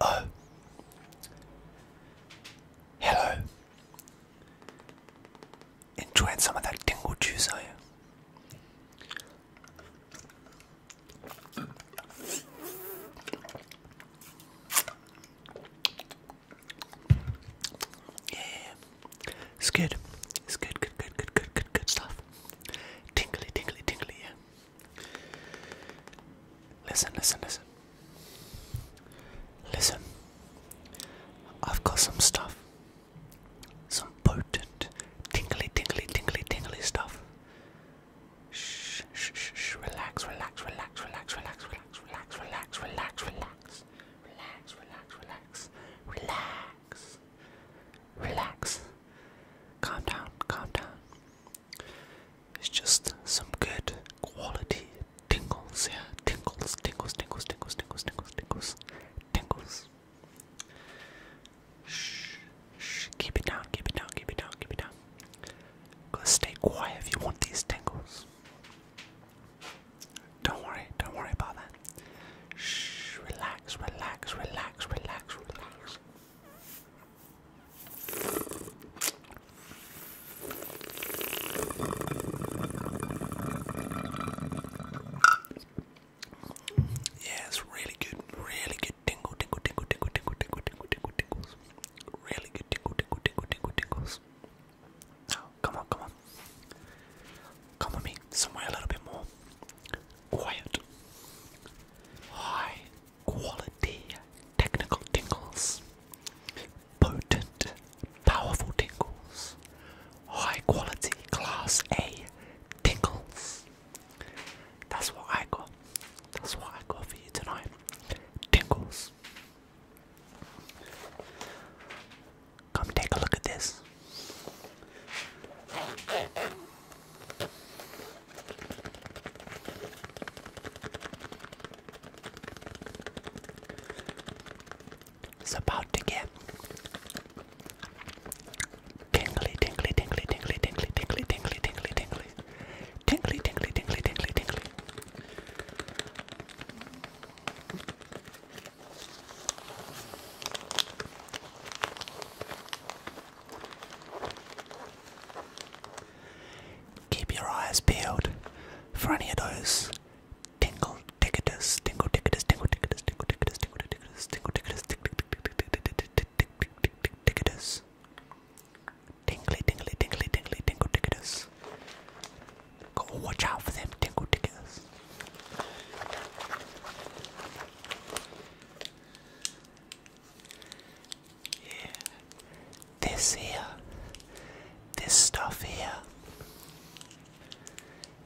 Oh, hello. Enjoying some of that tingle juice, are you? Yeah, it's good. It's good, good, good, good, good, good, good stuff. Tinkly, tinkly, tinkly. Yeah. Listen, listen, listen. Listen. I've got some stuff some potent tingly, tingly, tingly, tingly stuff. Shh, shh, shh, shh. Relax, relax, relax, relax, relax, relax, relax, relax, relax, relax, relax, relax, relax, relax, relax. Calm down, calm down. It's just some good quality tingles here. Tingles, tingles, tingles, tingles, tingles, tingles, tingles, tingles. Shh, shh, keep it down, keep it down, keep it down, keep it down. Gotta stay quiet if you want these tingles. Don't worry, don't worry about that. Shh, relax, relax, relax, relax, relax. Yeah, it's really good, really good tingle, tingle, tingle, tingle, tingle, tingle, tingle, tingle, tingles. Really good tingle, tingle, tingle, tingle, tingles. Now, oh, come on, come on. Come with me, somewhere a little bit more quiet. High quality technical tingles. Potent, powerful tingles. High quality class A tingles. That's what I got. That's what I got for you tonight. Tingles. Come take a look at this. It's about to get Tingly, tingly, tingly, tingly, tingly, tingly, tingly, tingly, tingly. Tingly, tingly, tingly, tingly, tingly. Keep your eyes peeled for any of those tingle ticketers, tingle ticketers, tingle ticketers, tingle ticketers, tingle ticketers, tingle ticketers, tingle ticketers, ticketus. Tingly, tingly, tingly, tingly, tingle ticketus. Go watch out for them tingle ticketus. Yeah. This here, this stuff here,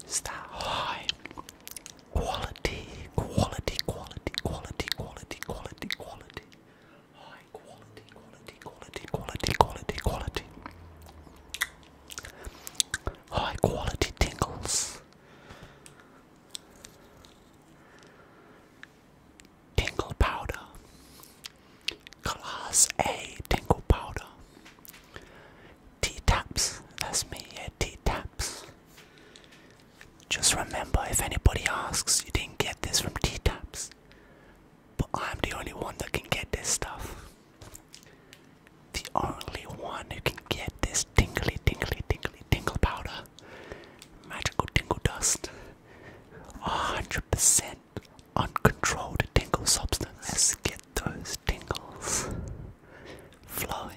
it's high quality, quality, quality, quality, quality, quality, quality. High quality, quality, quality, quality, quality, quality. High quality tingles. Tingle powder. Class A tingle powder. T taps. That's me, a T tap. Just remember if anybody asks, you didn't get this from T Taps. But I'm the only one that can get this stuff. The only one who can get this tingly, tingly, tingly, tingle powder. Magical tingle dust. 100% uncontrolled tingle substance. Let's get those tingles flowing.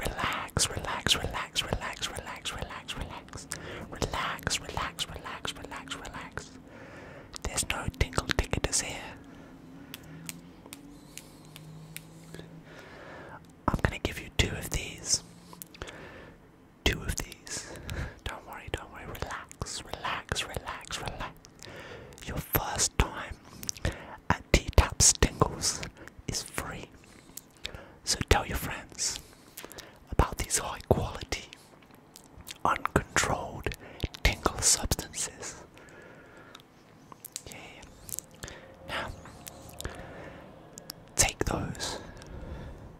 Relax, relax, relax, relax, relax, relax, relax. Relax, relax, relax, relax, relax. There's no tingle ticketers here. I'm gonna give you two of these two of these. Don't worry, don't worry. Relax, relax, relax, relax. Your first time at T Tap Stingles is free. So tell your friends about these high quality, uncontrolled tingle substances. Yeah. Now, take those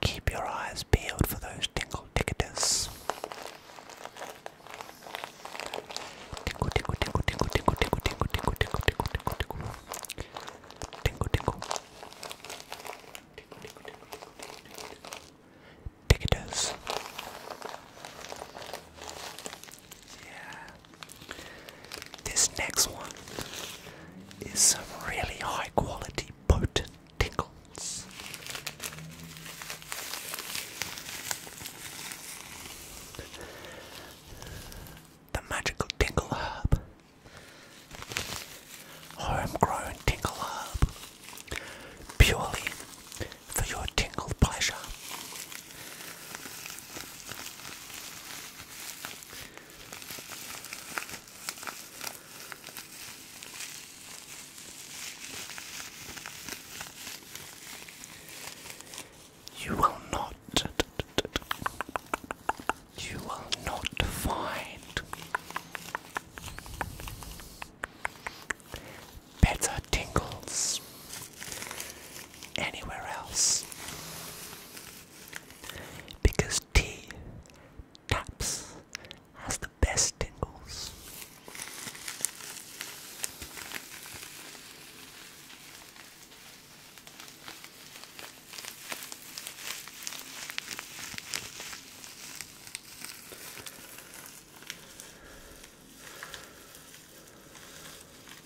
Keep your eyes peeled for those tingle ticketers. Tingle, tingle, tingle, tingle, tingle, tingle, tingle, tingle, tingle, tingle, tingle, tingle, tingle, tingle, ticketers. Yeah. This next one is some really high quality potent tingles. The magical tingle herb. Homegrown tingle herb. Purely for your tingle pleasure. You will not, you will not find better tingles anywhere else. Because tea taps has the best tingles.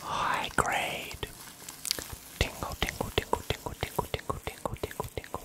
High grade. Tingle, tingle, tingle, tingle, tingle, tingle, tingle, tingle, tingle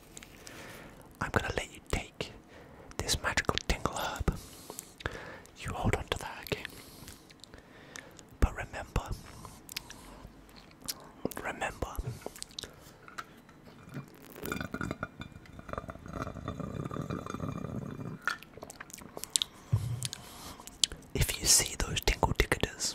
I'm gonna let you take this magical tingle herb. You hold on to that, okay? But remember, remember, if you see those tingle ticketers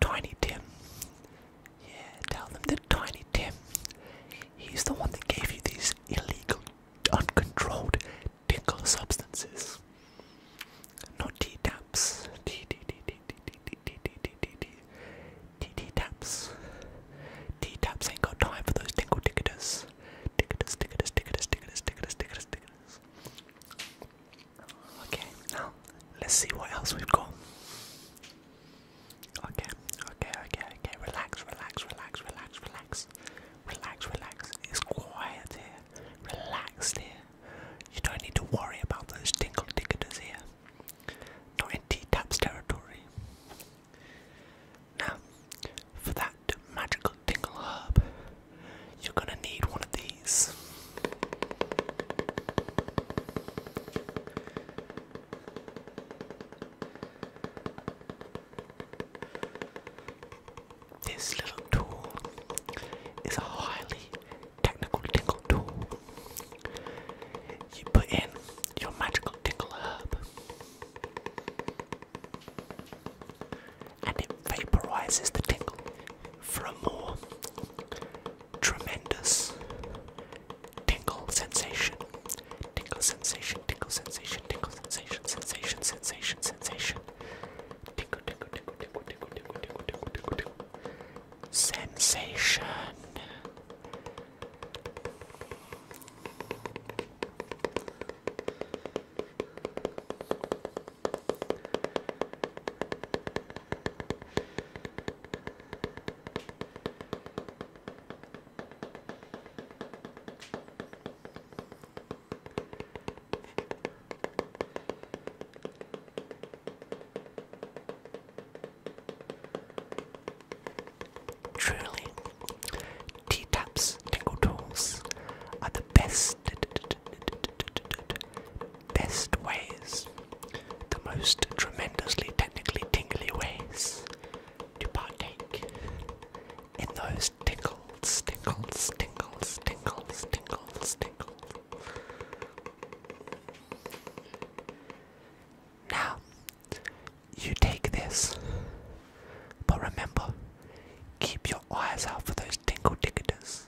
Tiny Tim. Yeah, tell them that Tiny Tim. He's the one that gave you these illegal, uncontrolled tinkle substances. Not T taps. T T T T T T T T T T T T T taps. T taps ain't got time for those tinkle ticketers. Ticketers, ticketers, ticketers, ticketers, ticketers, ticketers, ticketers. Okay, now let's see what else we've got. Okay, okay, okay, okay. Relax, relax, relax, relax, relax, relax, relax. It's quiet here, relaxed here. You don't need to worry about those tinkle ticketers here. Not in T-Tap's territory. Now, for that magical tingle herb, you're gonna need one of this little tool is a highly technical tingle tool. You put in your magical tingle herb and it vaporizes the tingle for a more tremendous tingle sensation. Tingle sensation, tingle sensation, tingle sensation, sensation, sensation, sensation. Tingle, tingle, tingle, tingle, tingle, tingle, tingle, tingle, tingle, tingle. Sensation. Truly, T-Taps tingle tools are the best best ways, the most tremendously technically tingly ways to partake in those tinkles, tinkles, tinkles, tinkles, tinkles, tinkles. Now, you take this, but remember, keep your eyes out for those tingle ticketers.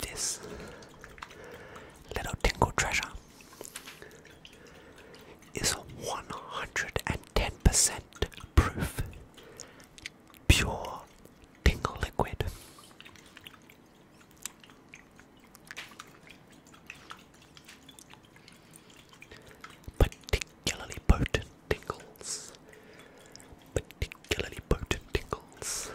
This little tingle treasure is 110% proof, pure tingle liquid. Particularly potent tingles. Particularly potent tingles.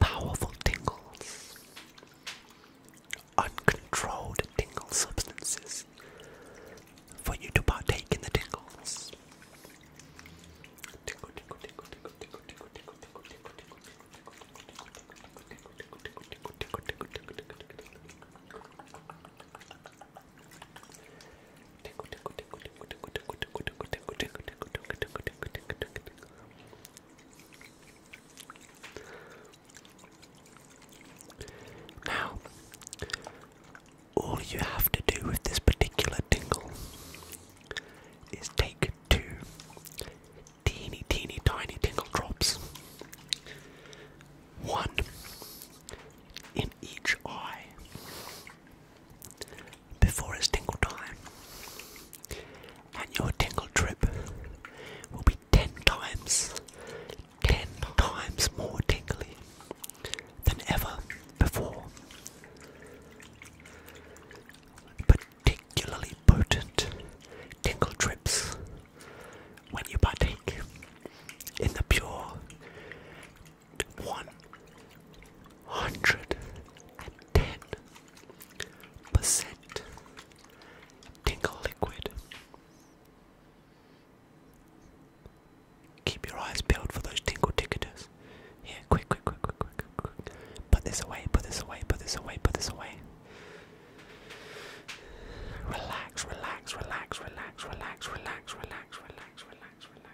Powerful tingles, uncontrolled tingle substances for you to partake in the tingles. Now, all you have to do with this particular tingle is take two teeny, teeny, tiny tingle drops, one in each eye, before it's tingle time. And your tingle trip will be 10 times, 10 times more tingly than ever before. Particularly potent tingle trips when you partake in the pure one hundred and ten percent tingle liquid. Keep your eyes peeled for those tingle ticketers. Yeah, quick, quick, quick, quick, quick, quick. Put this away, put this away, put this away, put this away. Relax, relax, relax, relax, relax, relax, relax, relax, relax, relax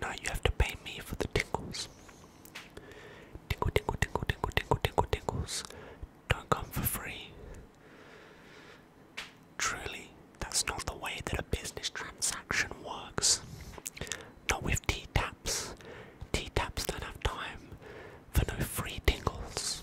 Now you have to pay me for the tickles. Tickle, tickle, tickle, tickle, tickle, tickle, tickles. Don't come for free. Truly, that's not the way that a business transaction works. Not with T taps. T taps don't have time for no free tingles.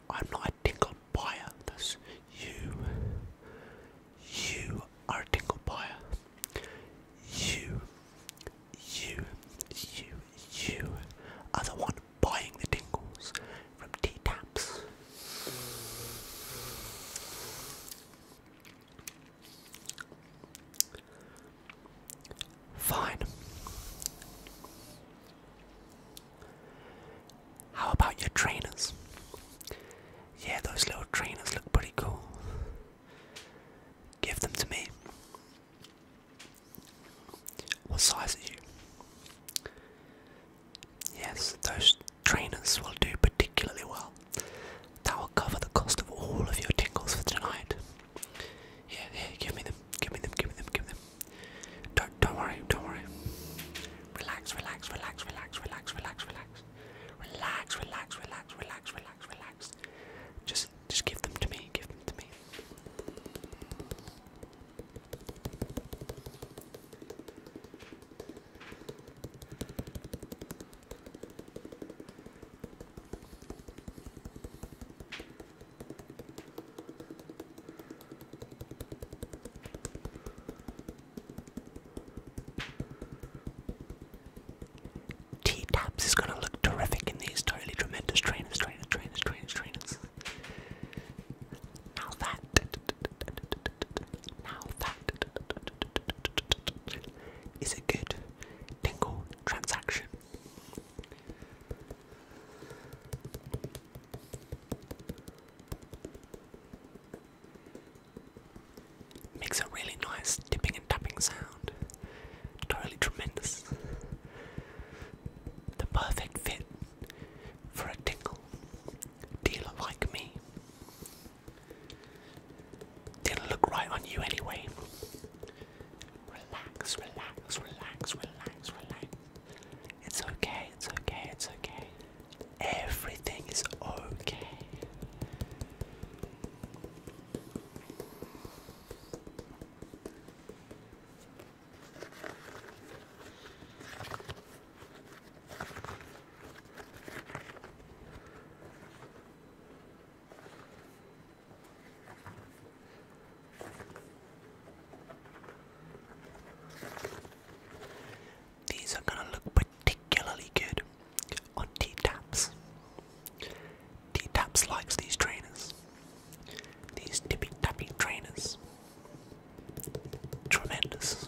I'm not a dingle buyer. you. You are a tingle buyer. You, you, you, you are the one buying the tingles from tea taps. Fine. How about your trainers? Yeah, those little trainers look pretty cool. Give them to me. What size are you? Yes, those trainers will do particularly well. That will cover the cost of all of your tingles for tonight. Yeah, yeah, give me them, give me them, give me them, give me them. Don't, don't worry, don't worry. Relax, relax, relax, relax, relax, relax, relax. Relax, relax, relax, relax, relax, relax. Just, just give them to me, give them to me. T Taps is gonna look terrific in these totally tremendous trainers, trainers, trainers, trainers, trainers. Now that, now that is a good tingle transaction. Makes a really nice dipping and tapping sound. Totally tremendous. The perfect fit for a tingle dealer like me. Didn't look right on you anyway. Relax, relax, relax, relax, relax. It's okay, it's okay, it's okay. Everything is okay. These are going to look particularly good on T-Taps. T-Taps likes these trainers. These tippy-tappy trainers. Tremendous.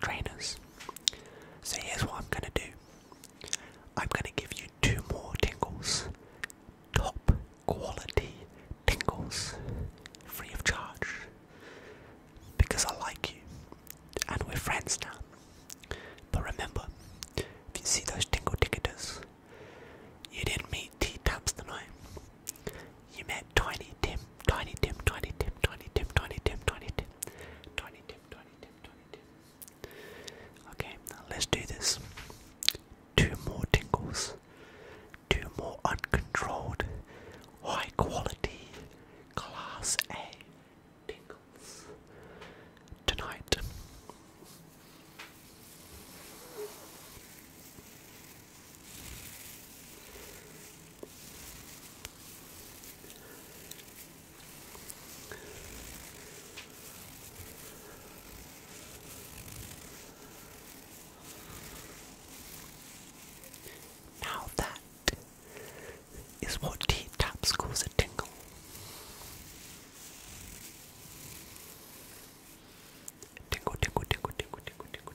trainers. So here's what I'm gonna do. I'm gonna give you two more tingles. Top quality tingles. Free of charge. Because I like you. And we're friends now. But remember, if you see those tingle ticketers, you didn't meet T taps tonight. You met Tiny Tim, Tiny Tim, Tiny Tim, Tiny Tim, Tiny Tim, Tiny Tim, Tiny Tim, Tiny Tim, Tiny Tim. Okay, now let's do this. Two more tingles. Two more uncontrolled, high quality, class A tingles tonight. Now that is what deep taps calls a tingle. Tingle, tingle, tingle, tingle, tingle, tingle,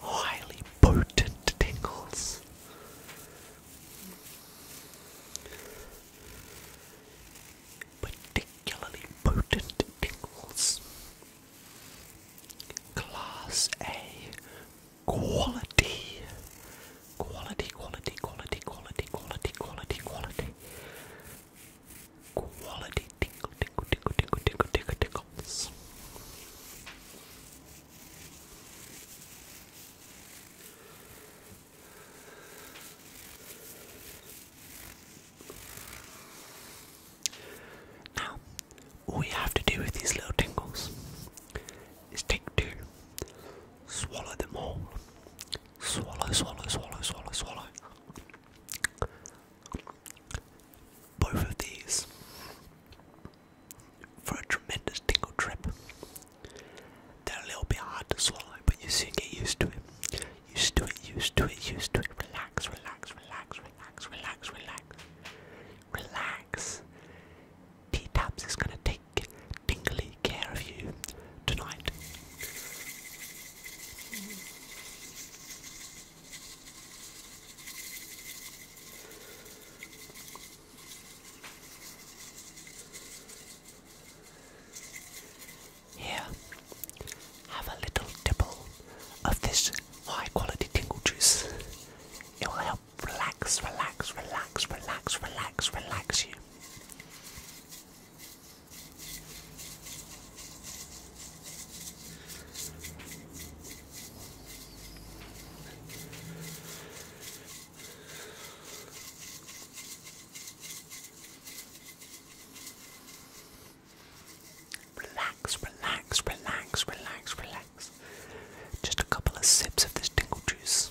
Highly potent tingles. Particularly potent tingles. Class A quality. Quality, quality, quality, quality, quality, quality, quality. Quality tinkle, tinkle, tinkle, tinkle, tinkle, tinkle, tinkles. Now, all you have to do with these little tingles is take two, swallow them all, swallow, swallow, swallow, swallow, swallow, both of these for a tremendous tingle trip. They're a little bit hard to swallow, but you soon get used to it. Used to it, used to it, used to it. Relax, relax, relax, relax, relax, relax. Relax. T Tabs is going to take tingly care of you tonight. Mm-hmm. Here, have a little tipple of this high quality tingle juice. It will help relax, relax, relax, relax, relax, relax you. Relax, relax, relax, relax, relax. Just a couple of sips of this tingle juice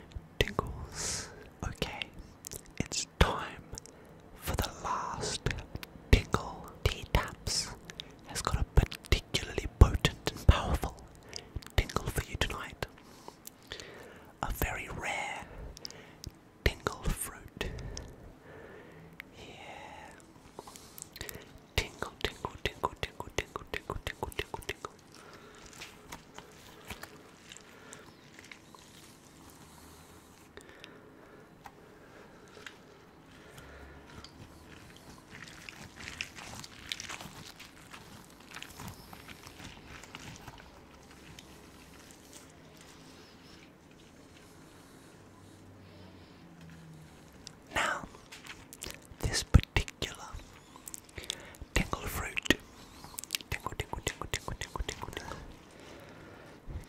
tingles. Okay, it's time for the last tingle. Tea Taps has got a particularly potent and powerful tingle for you tonight. A very rare tingle fruit. Yeah. Tingle, tingle, tingle, tingle, tingle, tingle, tingle, tingle, tingle. Now, this particular Tingle fruit. Tingle, tingle, tingle, tingle, tingle, tingle,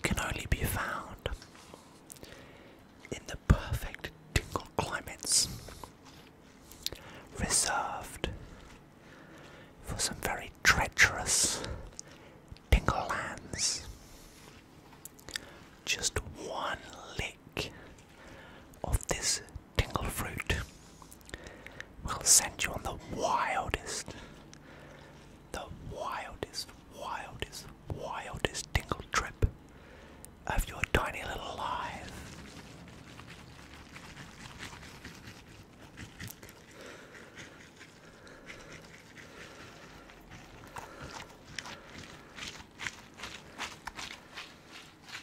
Can only be found in the perfect tingle climates. Reserved for some very treacherous tingle lands. Just one lick of this tingle fruit will send you on the wildest, the wildest, wildest, wildest tingle trip of your tiny little life.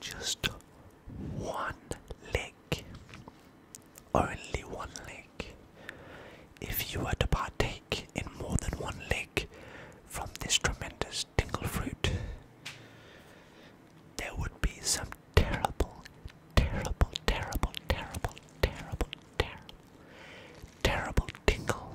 Just one lick. Only one lick. If you were to partake in more than one lick from this tremendous tingle fruit, there would be some terrible, terrible, terrible, terrible, terrible, terrible, terrible tingle